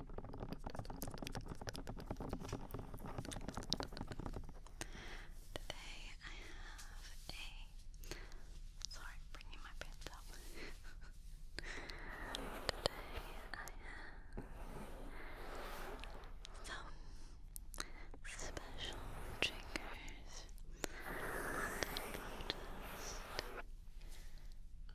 Today I have a sorry, bringing my pants up. Today I have some special triggers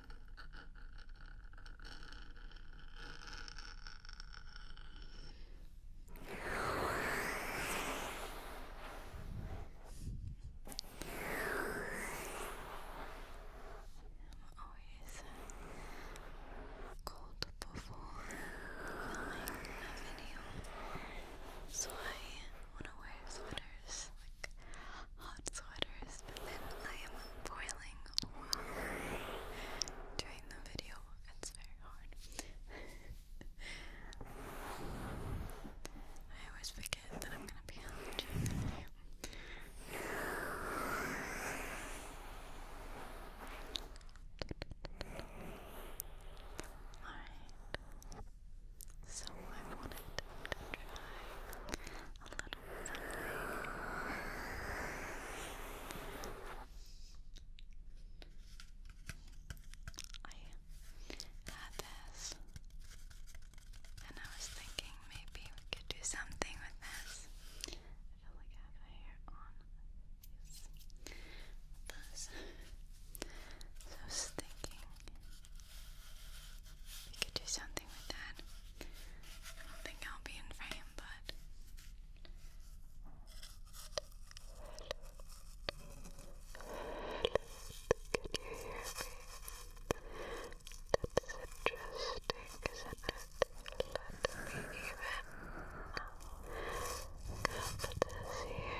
I'm always cold before filming a video, so I want to wear sweaters, hot sweaters, but then I am boiling while doing the video. It's very hard. I always forget that I'm gonna be allergic. Alright. So I wanted to try a little something. I had this, and I was thinking maybe we could do something with this. I feel like I have hair on this. So I was thinking we could do something with that. I don't think I'll be in frame, but can you hear me? That's interesting, is even come to here.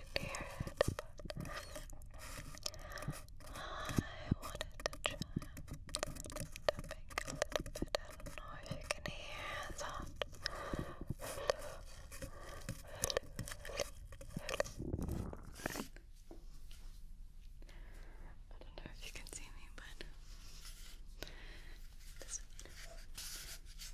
can I wanted to try tapping a I don't know if you can hear that. I don't know if you can see me, but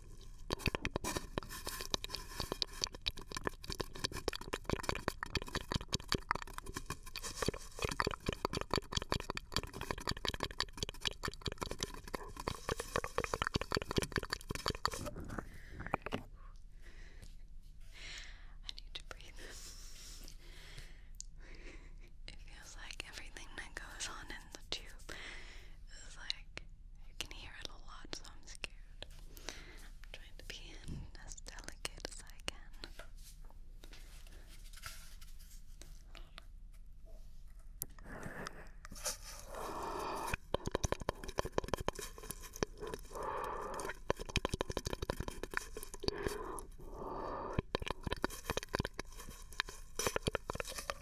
I need to breathe. it feels like everything that goes on in the tube is like you can hear it a lot, so I'm scared. I'm trying to be as delicate as I can.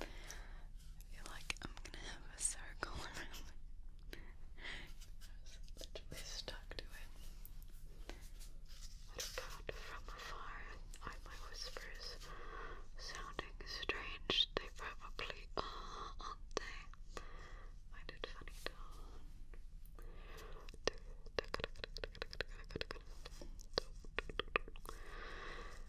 I feel like I'm gonna have a circle around it. stuck to it. It from afar my whispers, sounding strange. They probably are, are I did funny tone.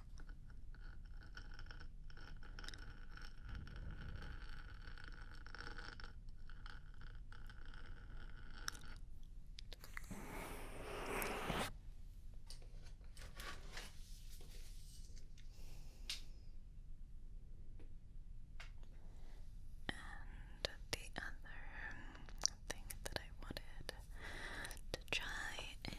And the other thing that I wanted to try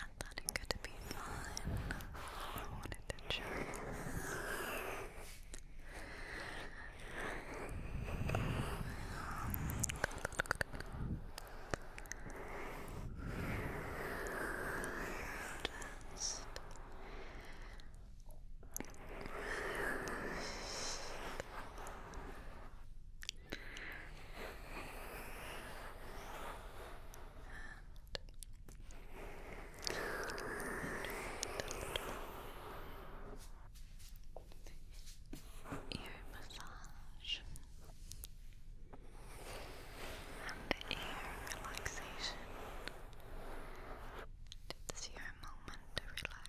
I thought it could be fun. I wanted to try. Ear massage and ear relaxation. It's your moment to relax.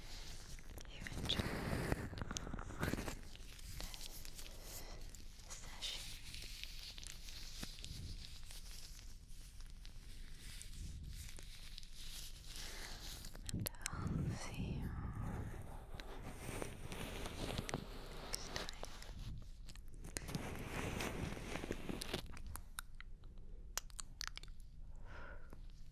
you enjoyed this session. And I'll see you next time.